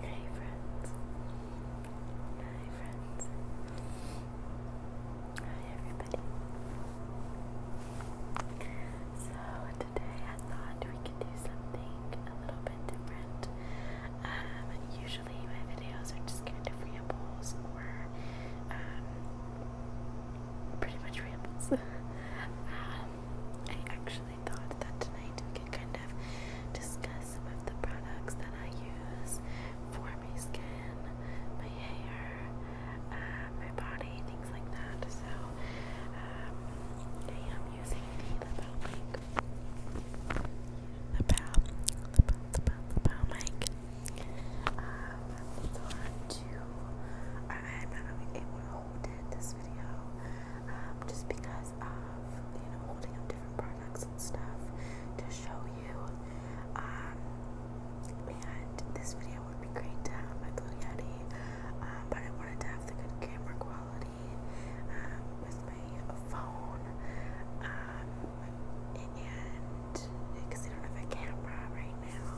Hey friends. Hi friends. Hi everybody. So today I thought we could do something a little bit different. Um, usually my videos are just kind of rambles or um, pretty much rambles. Um, I actually I thought that tonight we could kind of discuss some of the products that I use for my skin, my hair, uh, my body, things like that. So, um, I am using the Lapel mic. Lapel, lapel, mic. Um, it's I, am not able to hold it this video. Um, just because of, you know, holding up different products and stuff to show you. Um, and this video would be great to my Blue Yeti, um, but I wanted to have the good camera quality with my phone. and because I don't have a camera right now,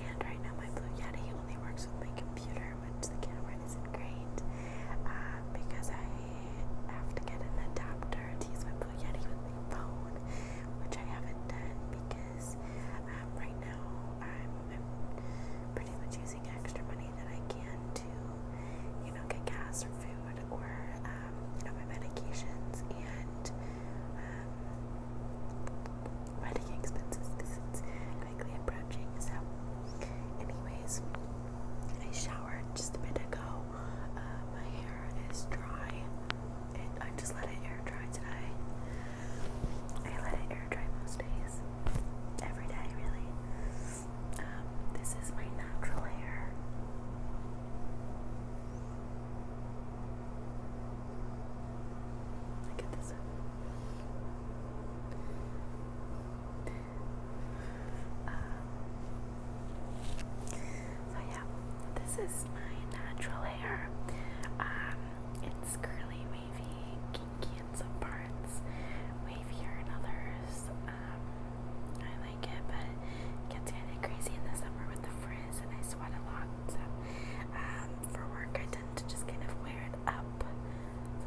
and right now my Blue Yeti only works with my computer, which the camera isn't great uh, because I have to get an adapter to use my Blue Yeti with my phone, which I haven't done because um, right now I'm, I'm pretty much using extra money that I can to, you know, get gas or food or um, you know my medications and. Um, running expenses because it's quickly approaching. So, anyways, I showered just a bit ago. Uh, my hair is dry, and I just let it air dry today. I let it air dry most days, every day, really. Um, this is my natural hair. Look at this. Um, so yeah, this is my natural hair. Um, it's curly, wavy, kinky in some parts, wavier in others. Um, I like it, but gets kind of crazy in the summer with the frizz, and I sweat a lot. So for work, I tend to just kind of wear it up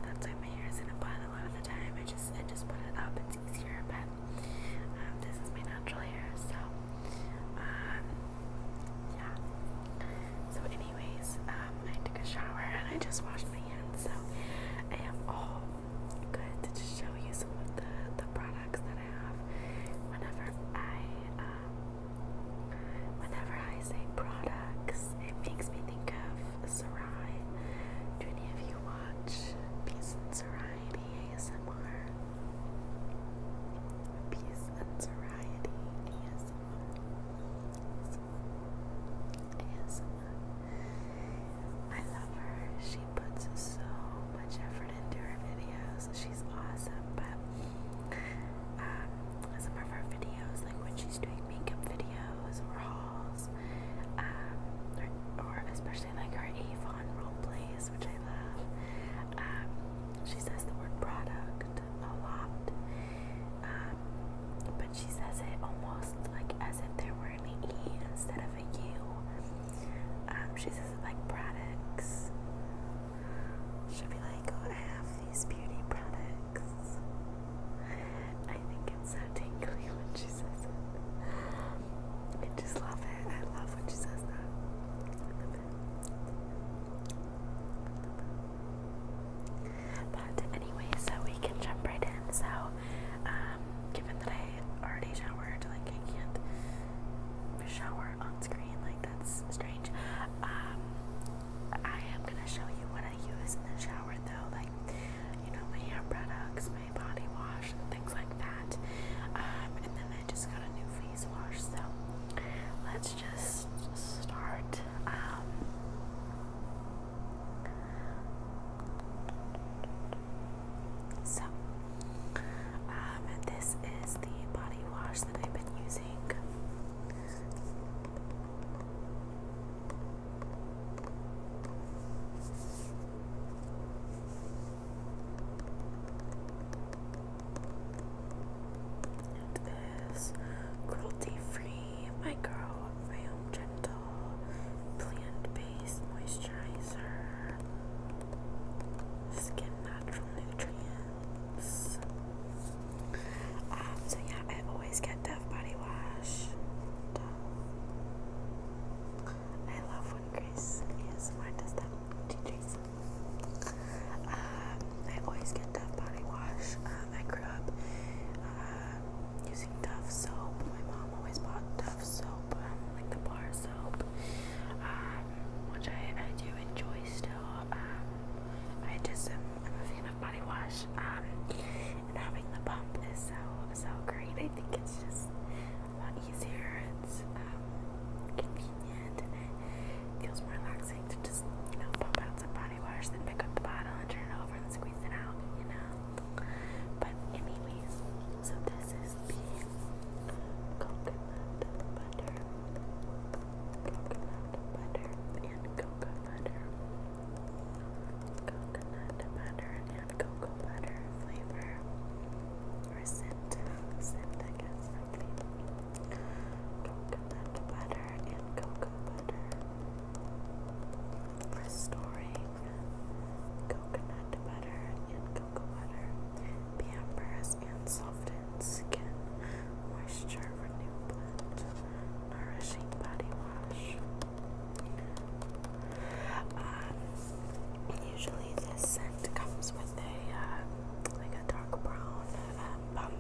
that's why my hair is in a bun a lot of the time. I just I just put it up. It's easier, but um, this is my natural hair, so um, yeah. So, anyways, um, I took a shower and I just washed my hands, so I am all good to just show you some of the the products that I have whenever I um, Whenever I say products, it makes me think of Sarai. Do any of you watch Peace and Soriety ASMR? Peace and Soriety ASMR. ASMR. I love her. She puts so much effort into her videos. She's awesome, but um, some of her videos, like when she's doing makeup videos or hauls, um, or, or especially like her Avon role plays, which I love. Um, she says the word product a lot, um, but she says it almost like as if there were an E instead of a U. Um, she says it like products. She'll be like, oh, I have these beauty products. I think it's so tingly when she says it. I just love it. I love when she says that. But anyway, so we can jump right in. So, um, given that I already showered, like I can't shower on screen, like that's strange. Um, I am gonna show you what I use in the shower though, like you know, my hair products, my body wash, and things like that. Um, and then I just got a new face wash, so let's just start. Um, so, um, this is the body wash that I've been using. It is cruelty-free, microbiome gentle, plant-based moisturizer, skin natural nutrient. Um, so yeah, I always get Dove body wash. I love when Grace ASMR does that. Teachers. Um, I always get Dove body wash. Um, I grew up uh, using Dove soap. My mom always bought Dove soap, um, like the bar soap, um, which I, I do enjoy still. Um, I just am I'm a fan of body wash, um, and having the pump is so so great. I think it's just a lot easier. It's um, convenient, and it feels more relaxing to just you know pump out some body wash, then pick up the bottle and turn it over and squeeze it out. You know. But anyways, so this is the coconut butter coconut butter and cocoa butter. Coconut butter and cocoa butter flavor. Or scent. Scent, I guess, probably. Coconut butter and cocoa butter. Restoring coconut butter and cocoa butter. Pampers and softened Skin Moisture Renew Blend Nourishing Body Wash. Um, usually this scent comes with a um, like a dark brown um,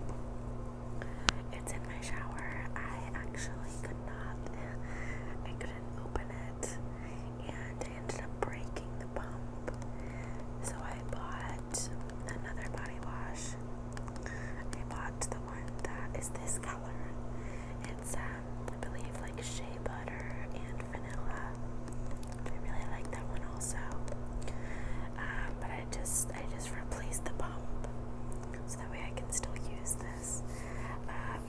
It's in my shower. I actually could not. I couldn't open it, and ended up breaking the pump. So I bought another body wash. I bought the one that is this color. It's um I believe like shea butter and vanilla. I really like that one also. Um, but I just I just replaced the pump so that way I can still use this. Um,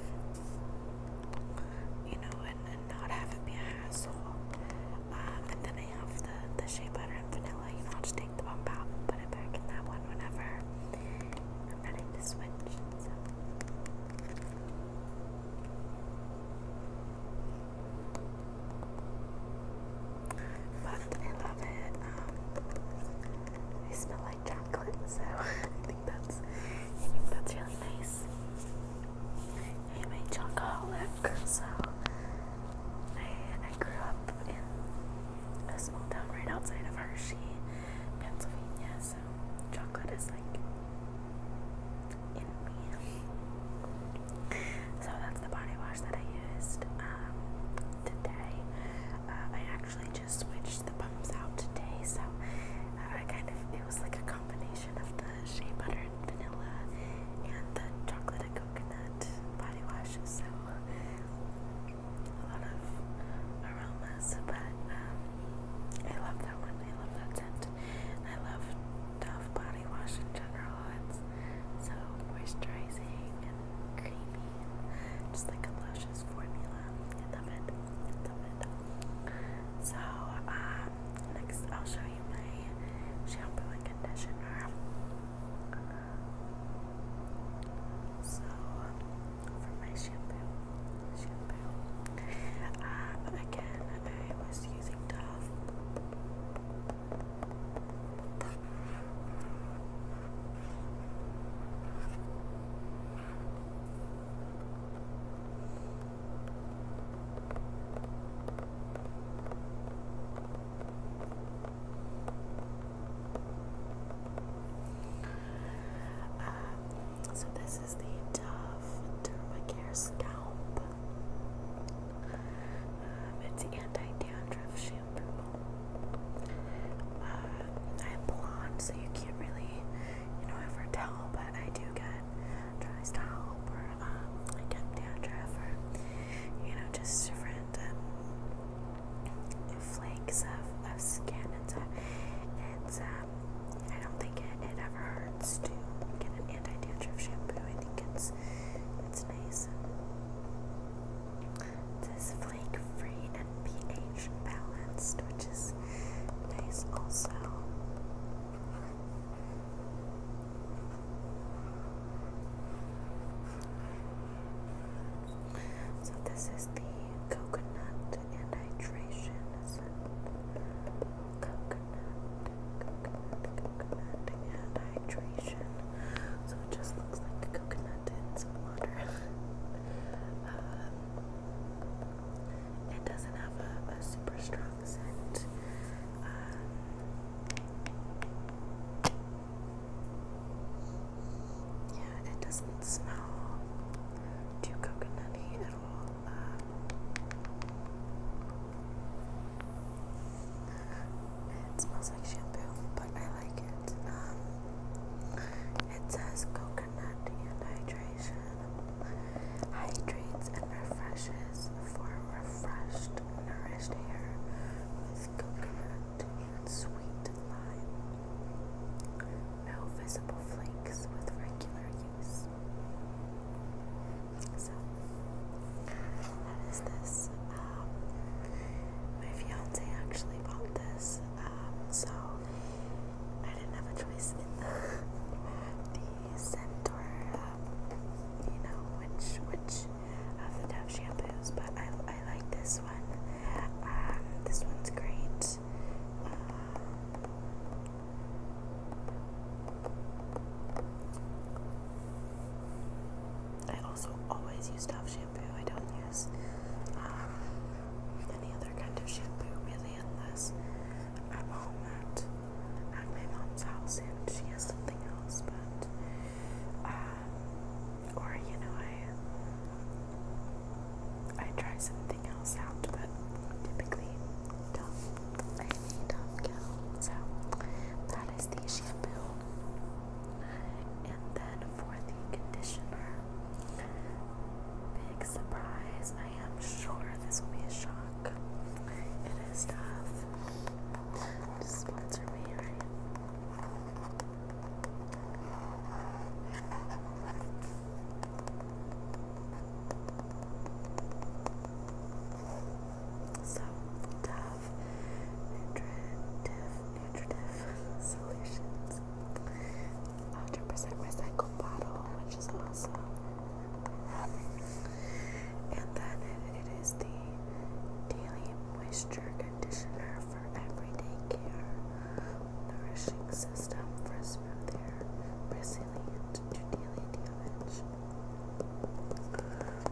you know, and, not have it be a hassle. Um, and then they have the, the shea butter and vanilla, you know, I'll just take the bump out and put it back in that one whenever I'm ready to switch. But I love it. Um, smell like chocolate, so I think that's that's really nice. I'm a chocoholic, so I, I grew up in a small town right outside of Hershey, Pennsylvania, so chocolate is like in me. So that's the body wash that I used um, today. Uh, I actually just switched the pumps out today, so uh, I kind of it was like a combination of the shea butter vanilla and the chocolate and coconut body wash, so a lot of aromas, but um, I love that one, I love that scent. I love Dove body wash in general, it's so moisturizing and creamy, just like a luscious formula, I love it, I love it. So, um, next I'll show you try my shampoo and conditioner. So, for my shampoo, shampoo. Um, again, I was using Dove. Um, so this is the Dove Dermacare Scalp. Um, it's anti-dandruff shampoo. Uh, I'm blonde, so you can't really, you know, ever tell, but I do get dry scalp or um, like at Deandra you know, just different flakes of, of skin. It's, it's um, I don't think it, it ever hurts to get an anti-dandruff shampoo. I think it's it's nice. It is flake-free and pH balanced, which is nice also. So this is the coconut and hydration coconut, coconut, coconut and hydration. So it just looks like coconut and water. Um, it doesn't have a super strong scent yeah, it doesn't smell too coconutty at all. it smells like shampoo, but I like it. Um, it says coconut and hydration. Hydrates and refreshes for refreshed nourished hair with coconut and sweet lime. No visible flakes with regular use. So, that is this. Um, my fiance actually bought this, um, so I didn't have a choice in the scent you know which which of the Dove shampoos, but I, I like this one. Um, this one's great. Um, I also always use Dove shampoo. I don't use um, any other kind of shampoo really unless I'm home at at my mom's house, and she has something else, but um, or you know, I I try something else out, but typically don't. I need Dove Gal, so that is the shampoo, and then for the conditioner. Big surprise. I am sure this will be a shock. It is tough sponsor me, alright? So, Nutritive, nutritive Solutions, 100% recycled bottle, which is awesome. And then it is the Daily Moisture Conditioner for Everyday Care Nourishing System for Smoother, Resilient to Daily Damage.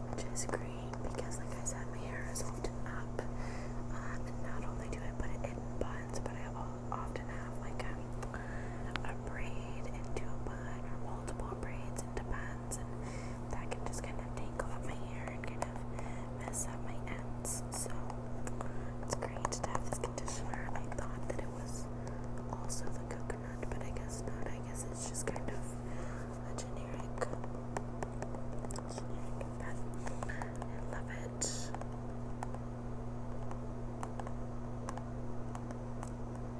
Which is great because, like I said, my hair is often up. Um, not only do I put it in buns, but I often have like a, a braid into a bun or multiple braids into buns ends, and that can just kind of tangle up my hair and kind of mess up my ends. So it's great to have this conditioner. I thought that it was also the coconut, but I guess not. I guess it's just kind of a generic, generic effect. I love it.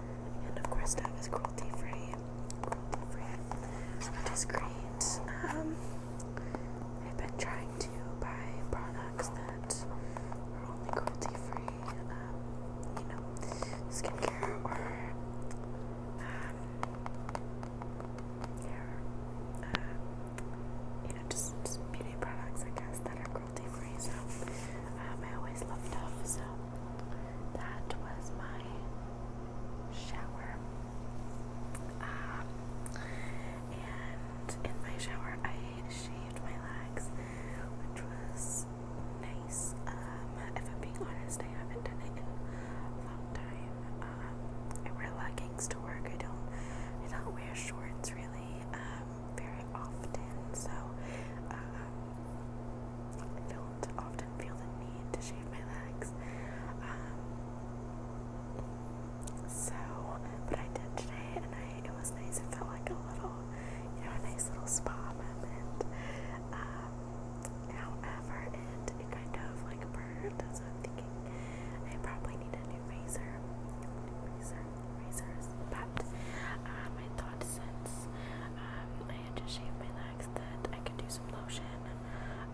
I and of course that is is cruelty free, which is great. Um, I've been trying to buy products that are only cruelty free, um, you know, skincare or um, hair, uh, you know, just, beauty products, I guess, that are cruelty free. So um, I always love those. So that was my shower. Ah, and in my shower, I shaved my legs, which was nice. Um, if I'm being honest, I haven't done it in a long time. I um, wear leggings to work. I don't. I don't wear shorts really um, very often. So. I don't often feel the need to shave my legs. Um, so, but I did today, and it was nice. It felt like a little, you know, a nice little spa moment. Um, however, it kind of like burned, so I'm thinking I probably need a new razor, new razors. But um, I since I had to shave my legs that I could do some lotion,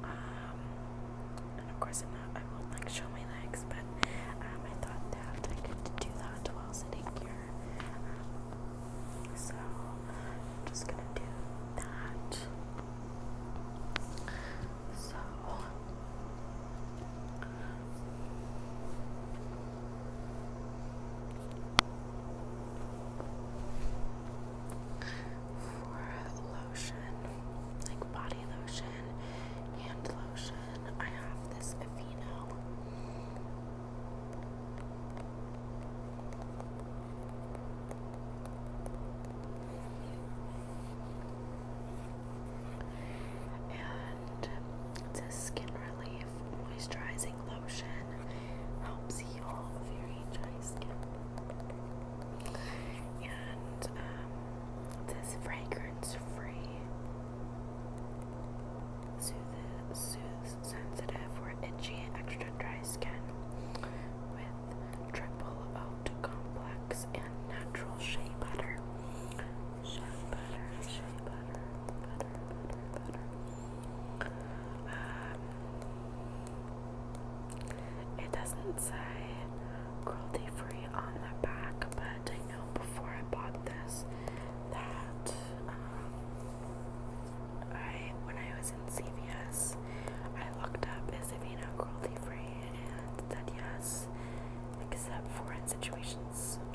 um, and of course I'm not, I won't like show my legs, but um, I thought that I could do that while sitting here, so I'm just gonna do that, so, for lotion, like body lotion, hand lotion, I have this Aveeno. And it's a skin relief Moisturizing Lotion helps heal very dry skin. And um, this fragrance free soothes, soothes sensitive or itchy extra dry skin with triple oat complex and natural shea butter. Shea butter, shea butter, butter, butter, butter. Um, it doesn't say cruelty free on the back, but I know before I bought this that um, I, when I was in CVS, I looked up is Avena cruelty free and said yes, except for foreign situation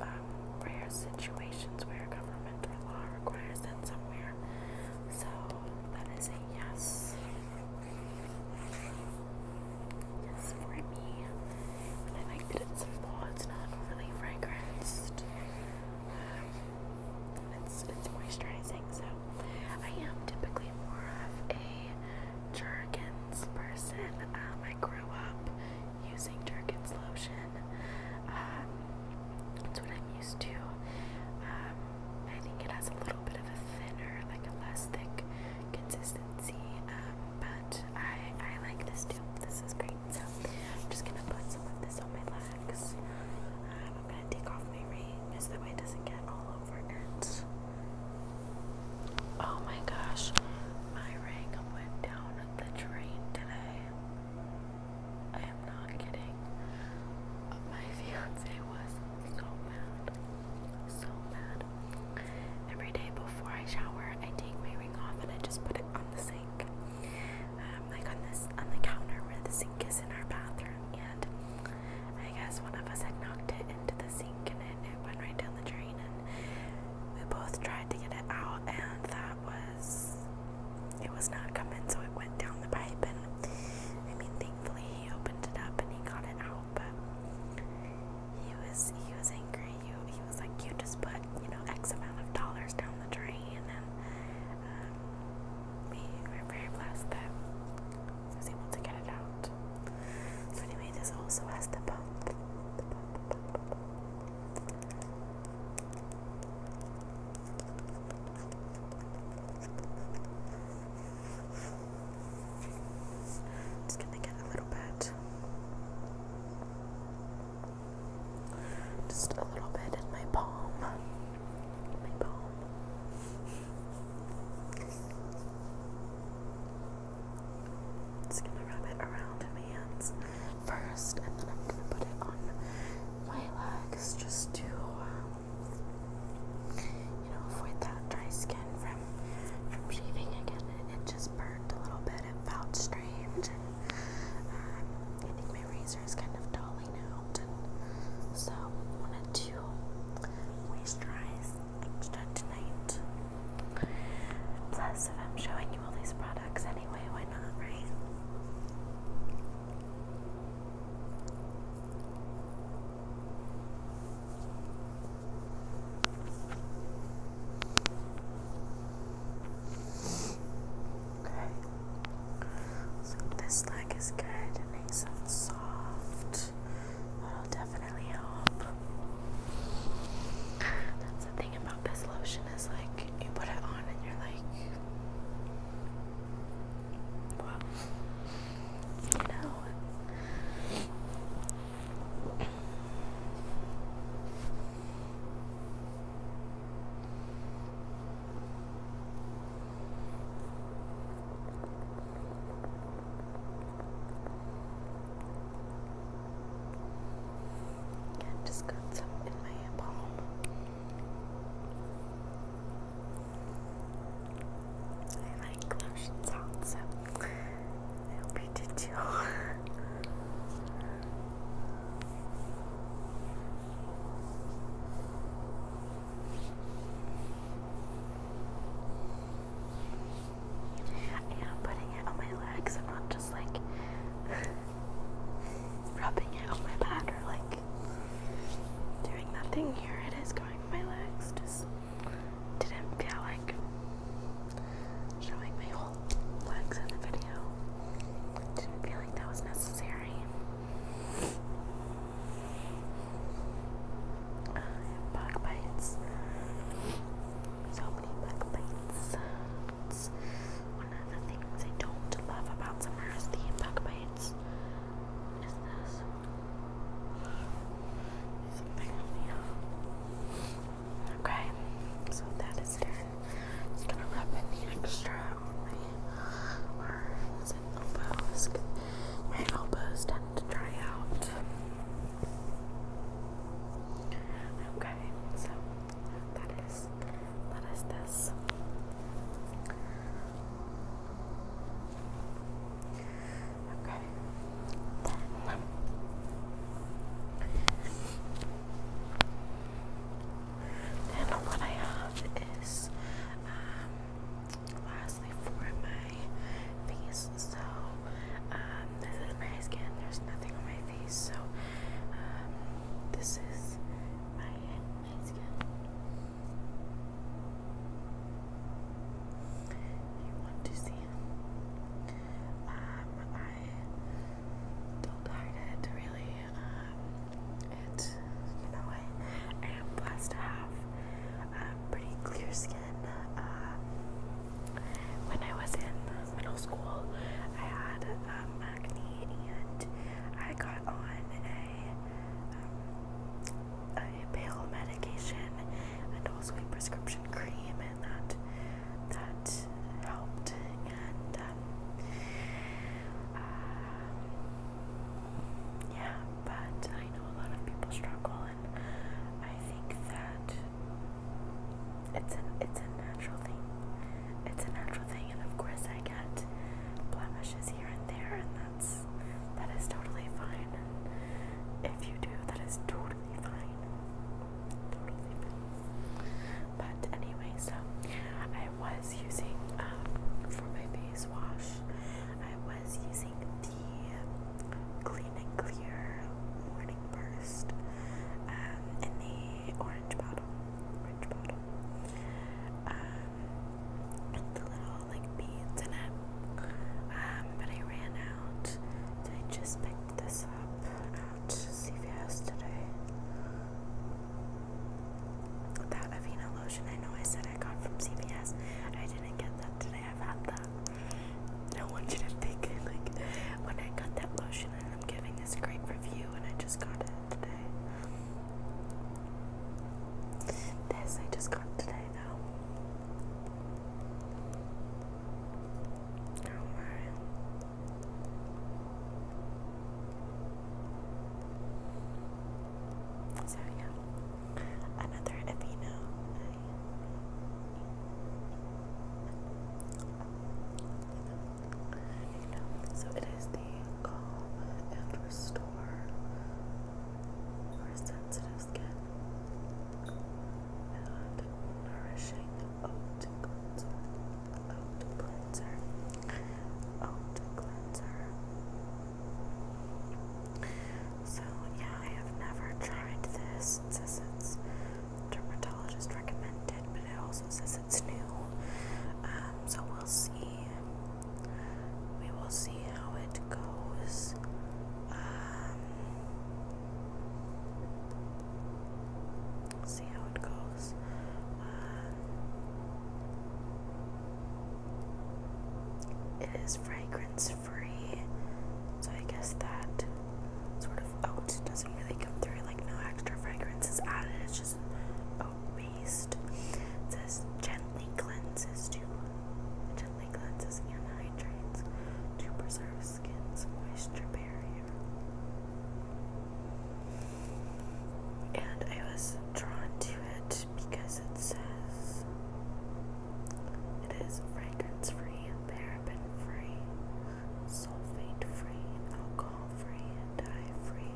um, rare situations where government or law requires it somewhere. So that is a yes. Yes for me. I like that it's simple, it's not overly fragranced. Um, it's, it's moisturizing, so I am typically more of a Jergens person. Um, I grew up using Jerkins lotion. Um, that's what I'm used to. Um, I think it has a little bit of a thinner, like a less thick consistency, um, but I, I like this too. This is great. So I'm just gonna put some of this on my legs. I'm gonna take off my ring so that way it doesn't get all over Oh my gosh, my ring went down the drain today. I am not kidding. My fiance was so mad. So mad. Every day before I shower, I take my ring off and I just put it on the sink. Um, like on this on the counter where the sink is in our bathroom and I guess one of us had knocked it into the sink and it, went right down the drain we both tried to get it out and that was it was not coming so it went down the pipe and I mean thankfully he opened it up and he got it out but he was he was angry he, he was like you just put you know X amount of dollars down the drain and um, we were very blessed that he was able to get it out so anyway this also has the pump. Just gonna get a little bit, just a little bit in my palm, my palm. Just gonna rub it around in my hands first, and then I'm gonna put it on my legs just to, um, you know, avoid that dry skin from from shaving again. It, it just burned a little bit. It felt strange. And, um, I think my razor is kind of dulling out, and so I wanted to moisturize tonight. Plus, if I'm showing you all these products anyway, why not, right? Okay. So this leg is good. It makes it soft. That'll definitely help. That's about this lotion is like you put it on and you're like, you know. I've just got some in my palm. I like lotion sounds, so I hope you did too. I am putting it on my legs. I'm not just like rubbing it on my back or like doing nothing here. It is going on my legs. Just didn't feel like showing my whole legs in the video. Didn't feel like that was necessary. bug bites. So many bug bites. one of the things I don't love about summer is the bug bites. What is this? Something Okay, so that is done. Just gonna rub in the extra on my arms and elbows. My elbows tend to dry out. Okay, so that is that is this. Okay. Then then what I have is um lastly for my face. So um this is my skin. There's nothing on my so um, this is my skin. If you want to see, um, I don't hide it really. Um, it you know I, I am blessed to have um, pretty clear skin. Uh, when I was in middle school, I had um, acne and I got on a, um, a pill medication and also a prescription cream, and that that helped. And um, uh, yeah, but I know a lot of people struggle, and I think that it's a it's a natural thing. It's a natural thing, and of course I get blemishes here and there, and that's that is totally fine. And if you do, that is totally fine. Totally fine. But anyway, so I was using um, for my face wash. I was using the clean clear morning burst um, in the orange bottle, um, the little like beads in it. Um, but I ran out, so I just picked this up at CVS today. That Avena lotion, I know I said I got from CVS. I didn't get that today. I've had that I want you to think like when I got that lotion and I'm giving this great review and I just got it today. This I just got today though. Oh my so yeah, another Aveeno so it is the Calm and Restore for sensitive skin and Nourishing Oat Cleanser. Cleanser. Oat Cleanser. So yeah, I have never tried this. It dermatologist recommended, but it also says it's new. Um, so we'll see. We will see how it goes. Um, see how it goes. Um, it is fragrance is free, so I guess that sort of oat doesn't really come through, like no extra fragrance is added, it's just oat based. says gently cleanses to gently cleanses and hydrates to preserve skin's moisture barrier. And I was drawn to it because it says it is fragrance free paraben-free, sulfate-free, alcohol-free, dye-free,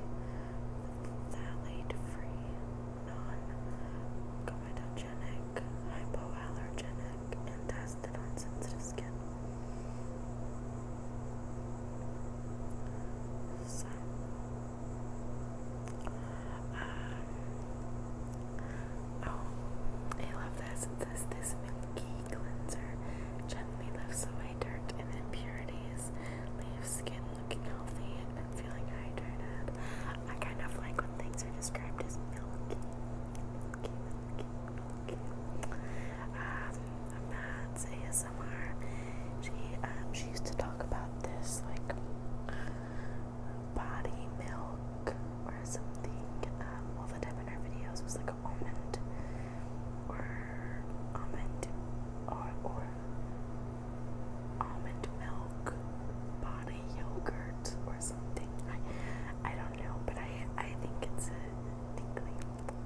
phthalate-free, non-comedogenic, hypoallergenic, and tested on sensitive skin. Uh, Oh, I love this. It this milky cleanser gently lifts away dirt and impurities, leaves skin looking healthy and feeling hydrated. I kind of like when things are described as milky, Um, Matt's ASMR. She um, she used to talk about this like body milk or something um, all the time in our videos was like almond or almond or, or almond milk body yogurt or something I, I don't know but I, I think it's a tingly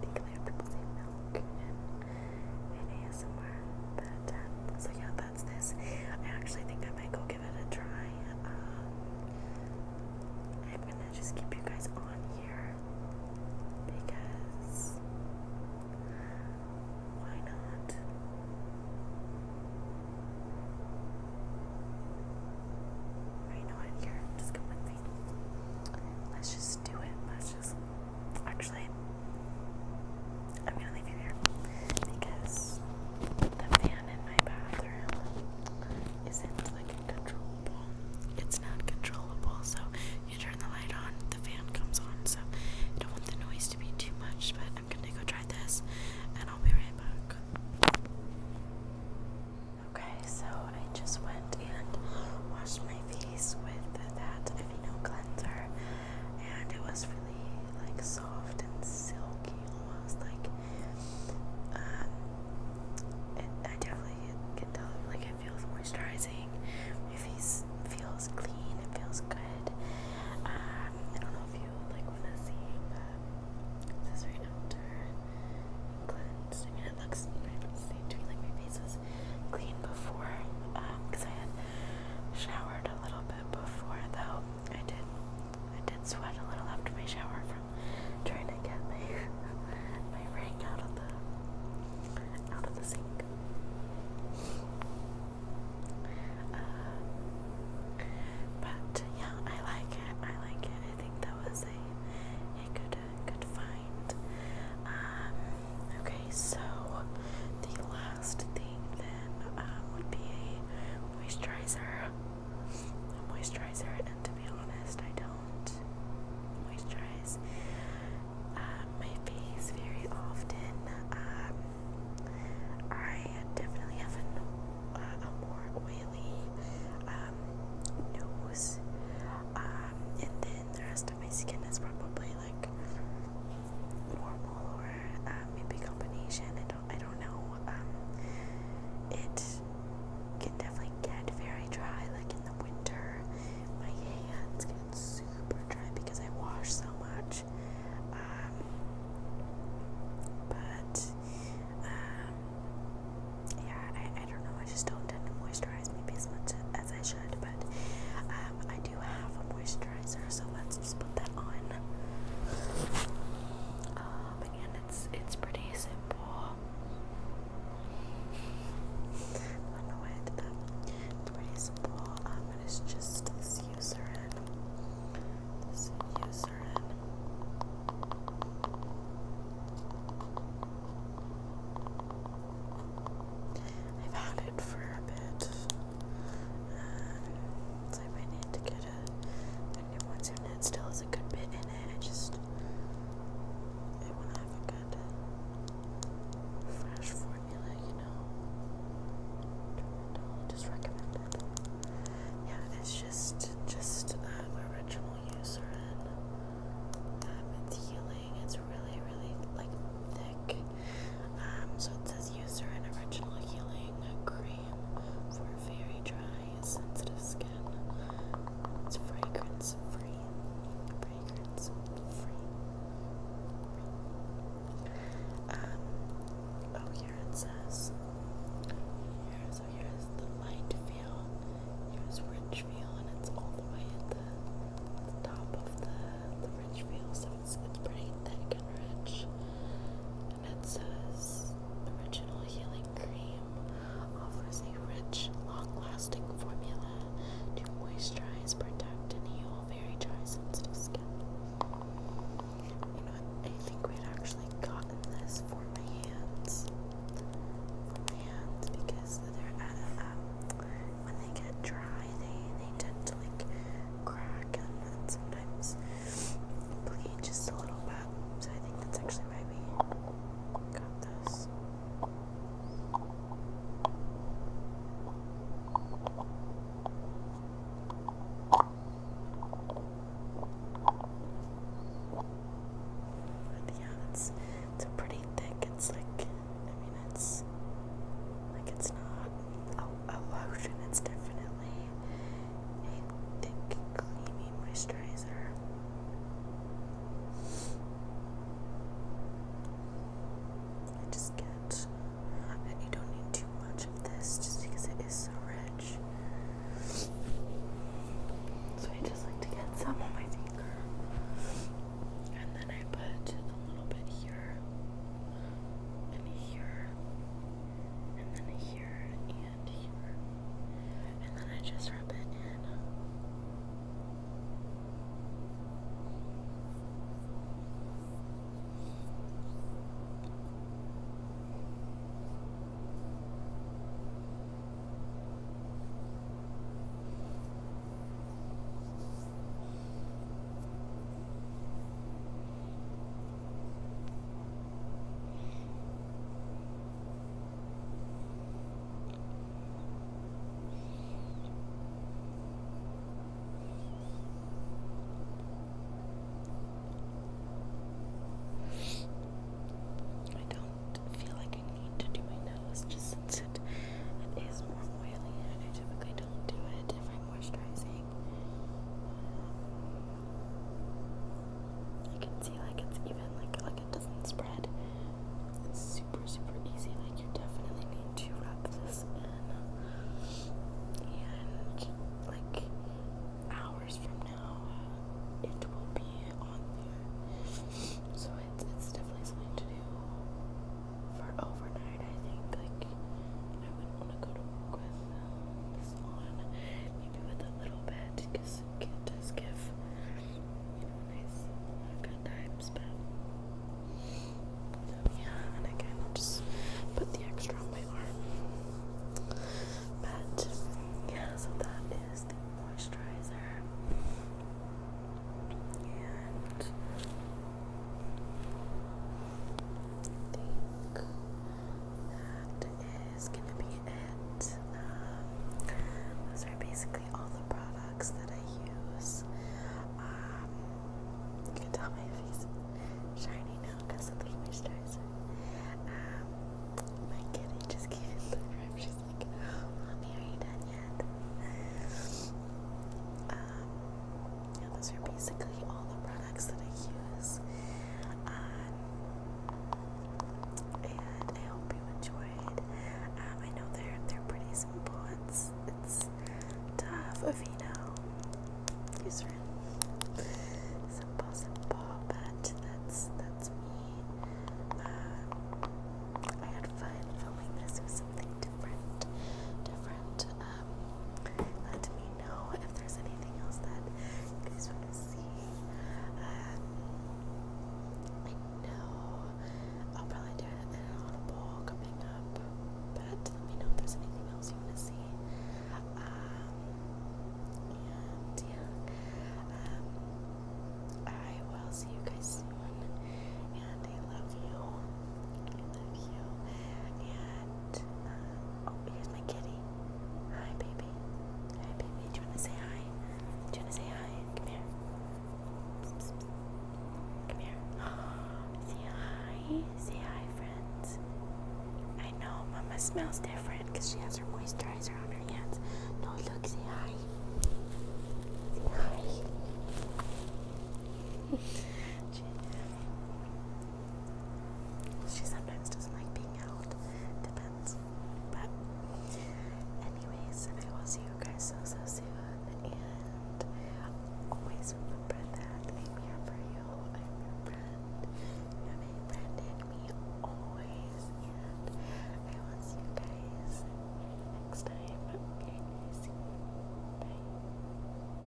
tingly of people say milk in, in but um, so yeah that's this I actually think I might go give it a try. Um, I'm gonna just keep you guys on here because why not? you know what? Here, just come with me. Let's just do it. Let's just. Actually, I'm gonna leave you here because the fan in my bathroom is like controllable. It's not controllable, so you turn the light on, the fan comes on. So I don't want the noise to be too much, but I'm gonna go try this and I'll be right back. Okay, so I just went and washed my face with that Aveeno cleanser, and it was really like soft and silky almost like it, um, I definitely like it feels moisturizing. If he feels clean, it feels good. Um, I don't know if you like want to see um, this right after cleansed. I mean, it looks pretty much Like my face was clean before, because um, I had showered a little bit before though. I did I did sweat a little after my shower from trying to get my my ring out of the out of the sink. Uh, but yeah, I like it. I like it. I think that was a a good uh, good find. Um, okay, so the last thing then um, would be a moisturizer moisturizer, and to be honest, I don't moisturize um, my face very often. Um, I definitely have a more oily um, nose, and then the rest of my skin is probably like normal or uh, maybe combination. I don't know. Um, it can definitely get very dry, like in the winter. My hands get super dry because I wash so much. Um, but um, yeah, I, don't know. I just don't tend to moisturize maybe as much as I should, but I do have a moisturizer, so let's just put that on but it's it's pretty simple. I know It's pretty simple, um, it's just this userin, this userin. I've had it for a bit, um, I might need to get a good new one's internet still has a good bit in it. I just I wanna have a good fresh formula, you know. Totally just recommend it. Yeah, it's just just an uh, original user and um, it's healing. It's really, really like thick. Um, so it says user and original healing cream cream for very dry, sensitive skin. It's fragrance free. Fragrance free. Um, oh, here it says. Here, so here's the light feel. Here's rich feel, and it's all the way at the, the top of the the rich feel. So it's it's pretty thick and rich and it says original healing cream offers a rich, long-lasting formula to moisturize, protect, and heal very dry, sensitive skin. You know, I think we'd actually gotten this for my hands, hands, because they're um, when they get dry, they they tend to like crack and sometimes bleed just a little bit. So I think that's actually maybe got this. But yeah, that's it's pretty thick. It's like I mean, it's like it's not a lotion. It's definitely a thick, creamy moisturizer. I just get, and you don't need too much of this just because it is so rich. So I just like to get some on my finger. And then I put a little bit here and here and then here and here, and then I just rub it in. I don't feel like I need to do my nose just since it is more oily I typically don't do it if I'm moisturizing you can see like it's even like like it doesn't spread. It's super super easy. Like you definitely need to wrap this in, and like hours from now, it will be on there. So it's it's definitely something to do for overnight. I think like I wouldn't want to go to work with this on, maybe with a little bit, because it does give, nice good times, but, yeah, and again, just put the extra on my arm, but, yeah, so that is the moisturizer, and think that is going to be it. Um, those are basically all the products that I use. Um, you can tell my face is shiny now because of the moisturizer. Um, my kitty just came in the room. She's like, Mommy, are you done yet? Um, yeah, those are basically all the products that I use. Um, and I hope you enjoyed. Um, I know they're they're pretty simple. It's it's tough Avino userin. Simple, simple, but that's that's me. Um, I had fun filming this with something different, different. Um, let me know if there's anything else that you guys want to see. Um, I know I'll probably do an audible coming up, but let me know if there's anything else you want to see. Um, and yeah, um, I will see you guys soon, and I love you love you. And, oh, here's my kitty. Hi, baby. Hi, baby. Do you want to say hi? Do you want to say hi? Come here. Come here. say hi. Say hi, friends. I know Mama smells different because she has her moisturizer on her hands. No, look, say hi. Say hi. She sometimes doesn't like being out. Depends. But anyways, I will see you guys so so soon and always remember that I'm here for you. I'm your friend. You have a friend in me always and I will see you guys next time. Okay, see you. Bye.